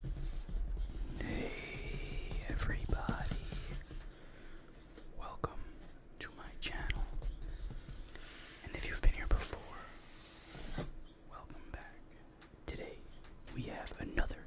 Hey everybody, welcome to my channel. And if you've been here before, welcome back. Today we have another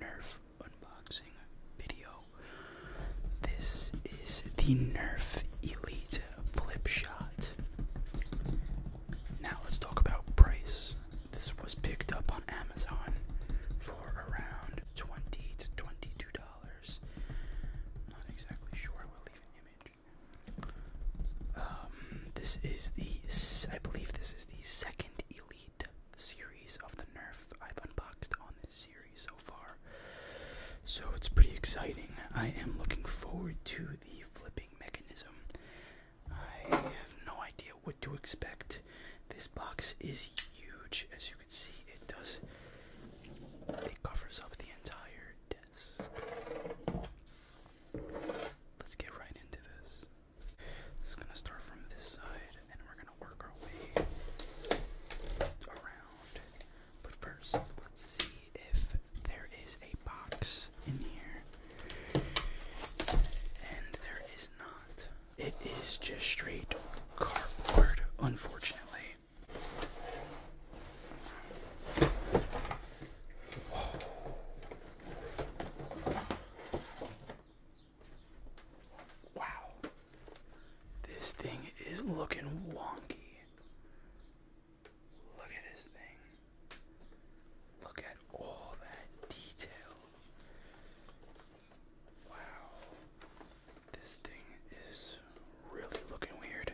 Nerf unboxing video. This is the Nerf Elite Flip Shot. Now let's talk about price. This was picked up on Amazon for around twenty to twenty-two dollars. Not exactly sure. We'll leave an image. Um, this is the I believe this is the second Elite series of the Nerf I've unboxed on this series so far. So it's pretty exciting. I am looking forward to the flipping mechanism. I have no idea what to expect. This box is huge, as you can see. It does. It covers up the entire desk. Let's get right into this. This is gonna start from this side, and we're gonna work our way around. But first, let's see if there is a box in here. And there is not. It is just straight cardboard, unfortunately. Wow. This thing is looking wonky. Look at this thing. Look at all that detail. Wow. This thing is really looking weird.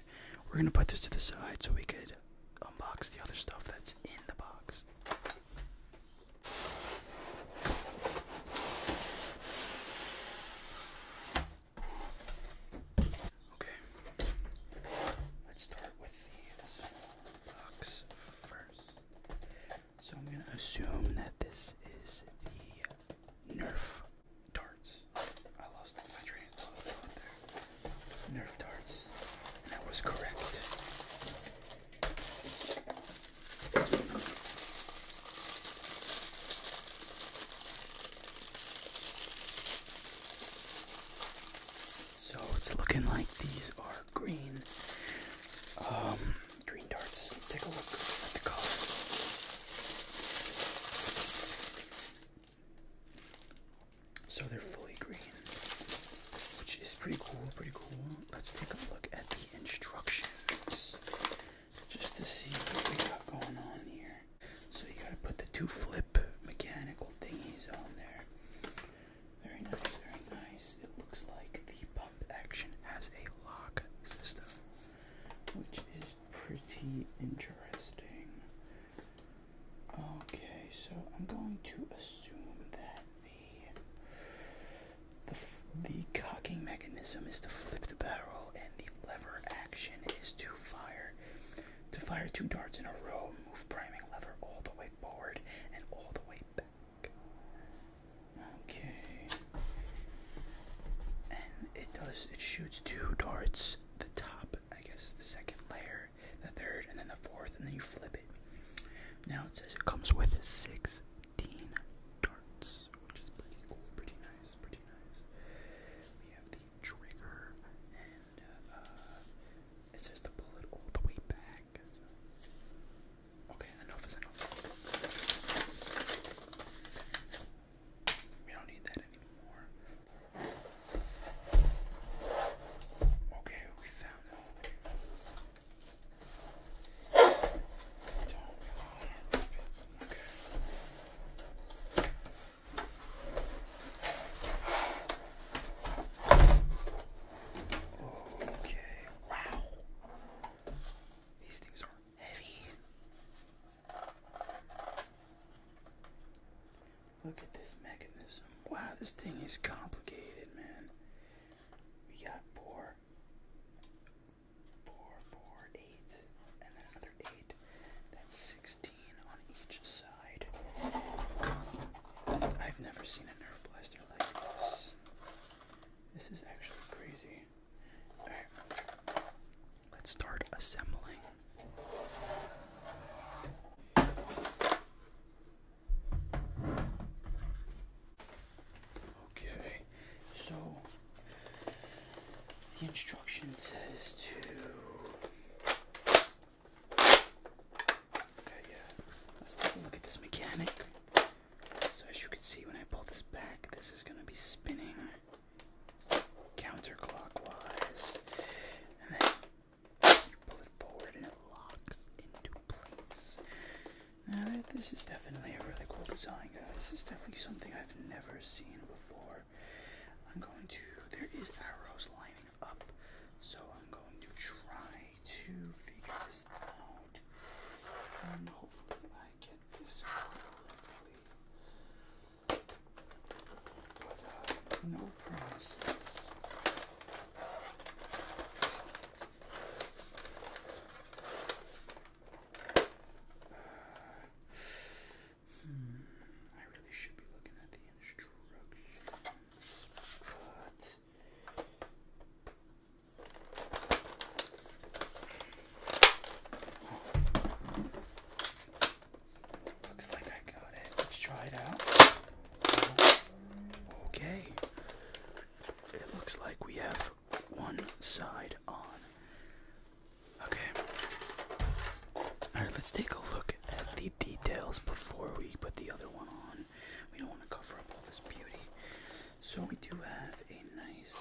We're going to put this to the side so we could unbox the other stuff that's in the box. Okay. Let's start with the this box so I'm gonna assume that this is the Nerf darts. I lost my train of thought there. Nerf darts, and that was correct. So it's looking like these are green um, green darts. Take a look at the color. So they're fully green, which is pretty cool, pretty cool. Let's take a look at the instructions just to see what we got going on here. So you gotta put the two flip mechanical thingies on there. Very nice, very nice. It looks like the pump action has a lock system, which is pretty interesting. Okay, so I'm going to assume that the the, cocking mechanism is to flip the barrel, and the lever action is to fire to fire two darts in a row move priming lever all the way forward and all the way back. Okay. And it does, it shoots two darts. The top, I guess, is the second layer, the third, and then the fourth, and then you flip it. Now it says it comes with 16 darts, which is pretty cool, pretty nice, pretty nice. We have the trigger uh, it says the bullet all the way back. Okay, enough is enough. We don't need that anymore. Okay, we found it. Okay, wow. These things are heavy. Look at this mechanism. Wow, this thing is complicated, man. We got four, four, four, eight, and then another eight. That's 16 on each side. I've never seen a Nerf blaster like this. This is actually crazy. Alright, let's start assembling. Okay, so the instruction says to Okay, yeah. Let's take a look at this mechanic. So as you can see, when I pull this back, this is going to be spinning counterclockwise. And then you pull it forward and it locks into place. Now, this is definitely a really cool design, guys. This is definitely something I've never seen before. I'm going to... There is arrows lining up. So I'm going to try to figure this out. And hopefully I get this uh, no promises. Uh, hmm, I really should be looking at the instructions looks like I got it. Let's try it out. Okay. It looks like we have one side on. Okay. Alright, let's take a look the details before we put the other one on. We don't want to cover up all this beauty. So we do have a nice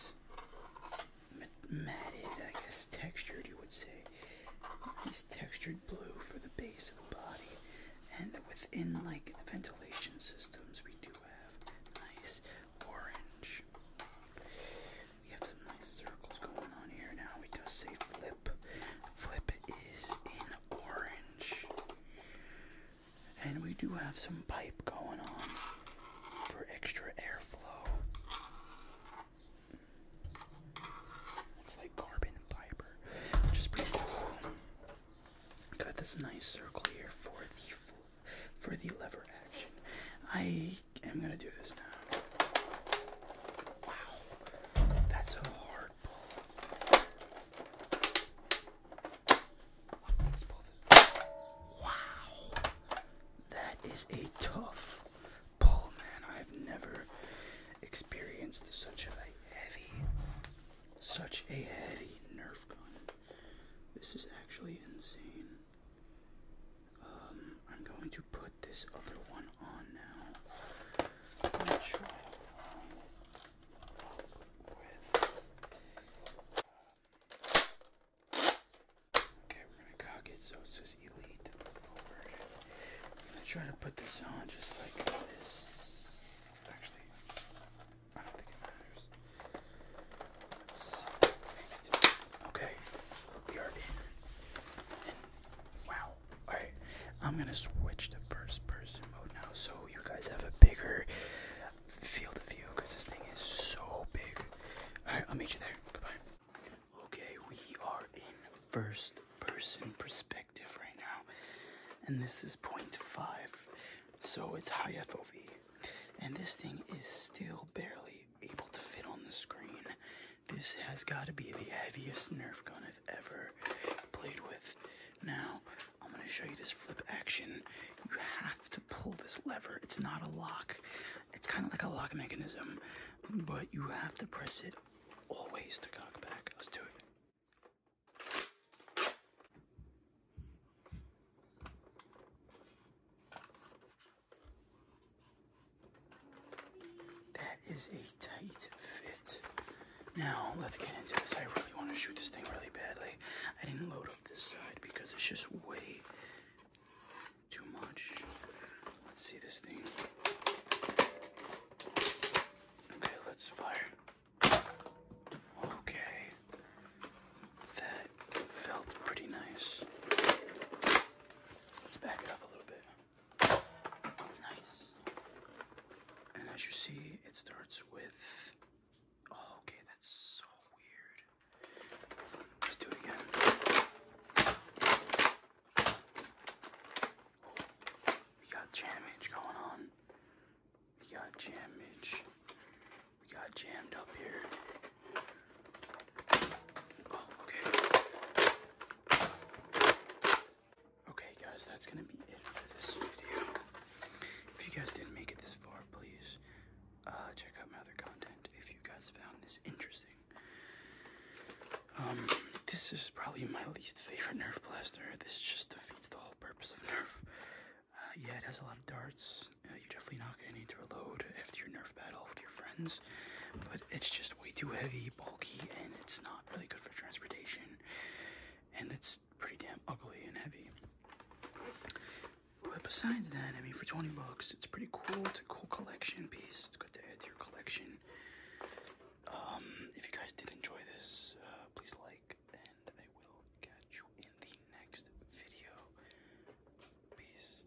matted, I guess textured you would say. Nice textured blue for the base of the body. And within like the ventilation systems we do have nice orange. We have some nice circles going on here now. It does say flip Flip. is in orange. And we do have some pipe going on for extra airflow. Looks like carbon fiber, which pretty cool. Got this nice circle here for the for the lever action. I am gonna do this now. Wow, that's a hard pull. Wow, that is a tough pull, man. I've never experienced such a heavy, such a heavy Nerf gun. This is actually insane. Um, I'm going to put this other one on now. Um, okay, we're going to cock it so it says Elite I'm going to try to put this on just like this. Actually, I don't think it matters. Okay, we are in. wow, Alright, I'm gonna switch to first person mode now so you guys have a bigger field of view because this thing is so big. Alright, I'll meet you there. Goodbye. Okay, we are in first person perspective right now, and this is 0.5, so it's high FOV. And this thing is still barely able to fit on the screen. This has got to be the heaviest Nerf gun I've ever played with. Now, I'm going to show you this flip action. You have to pull this lever. It's not a lock. It's kind of like a lock mechanism, but you have to press it always to cock back. Let's do it. That is a tight fit. Now, let's get into this. I really want to shoot this thing really badly. I didn't load up this side because it's just way too much. Let's see this thing. Okay, let's fire. Okay. That felt pretty nice. Let's back it up a little bit. Nice. And as you see, it starts with. Oh, okay, that's so weird. Let's do it again. we got jammage going on. We got jammage. We got jammed up here. Oh, okay. Okay, guys, that's gonna be it for this video. If you guys did make it this far, please uh, check out my other content if you guys found this interesting. Um, this is probably my least favorite Nerf blaster. This just defeats the whole purpose of Nerf. Uh, yeah, it has a lot of darts. Uh, you're definitely not gonna need to reload after your Nerf battle with your friends, but it's just way too heavy, bulky, and it's not really good for transportation. And it's pretty damn ugly and heavy. But besides that, I mean, for 20 bucks, it's pretty cool. It's a cool collection piece. It's good to add to your collection. Um, if you guys did enjoy this, uh, please like, and I will catch you in the next video. Peace.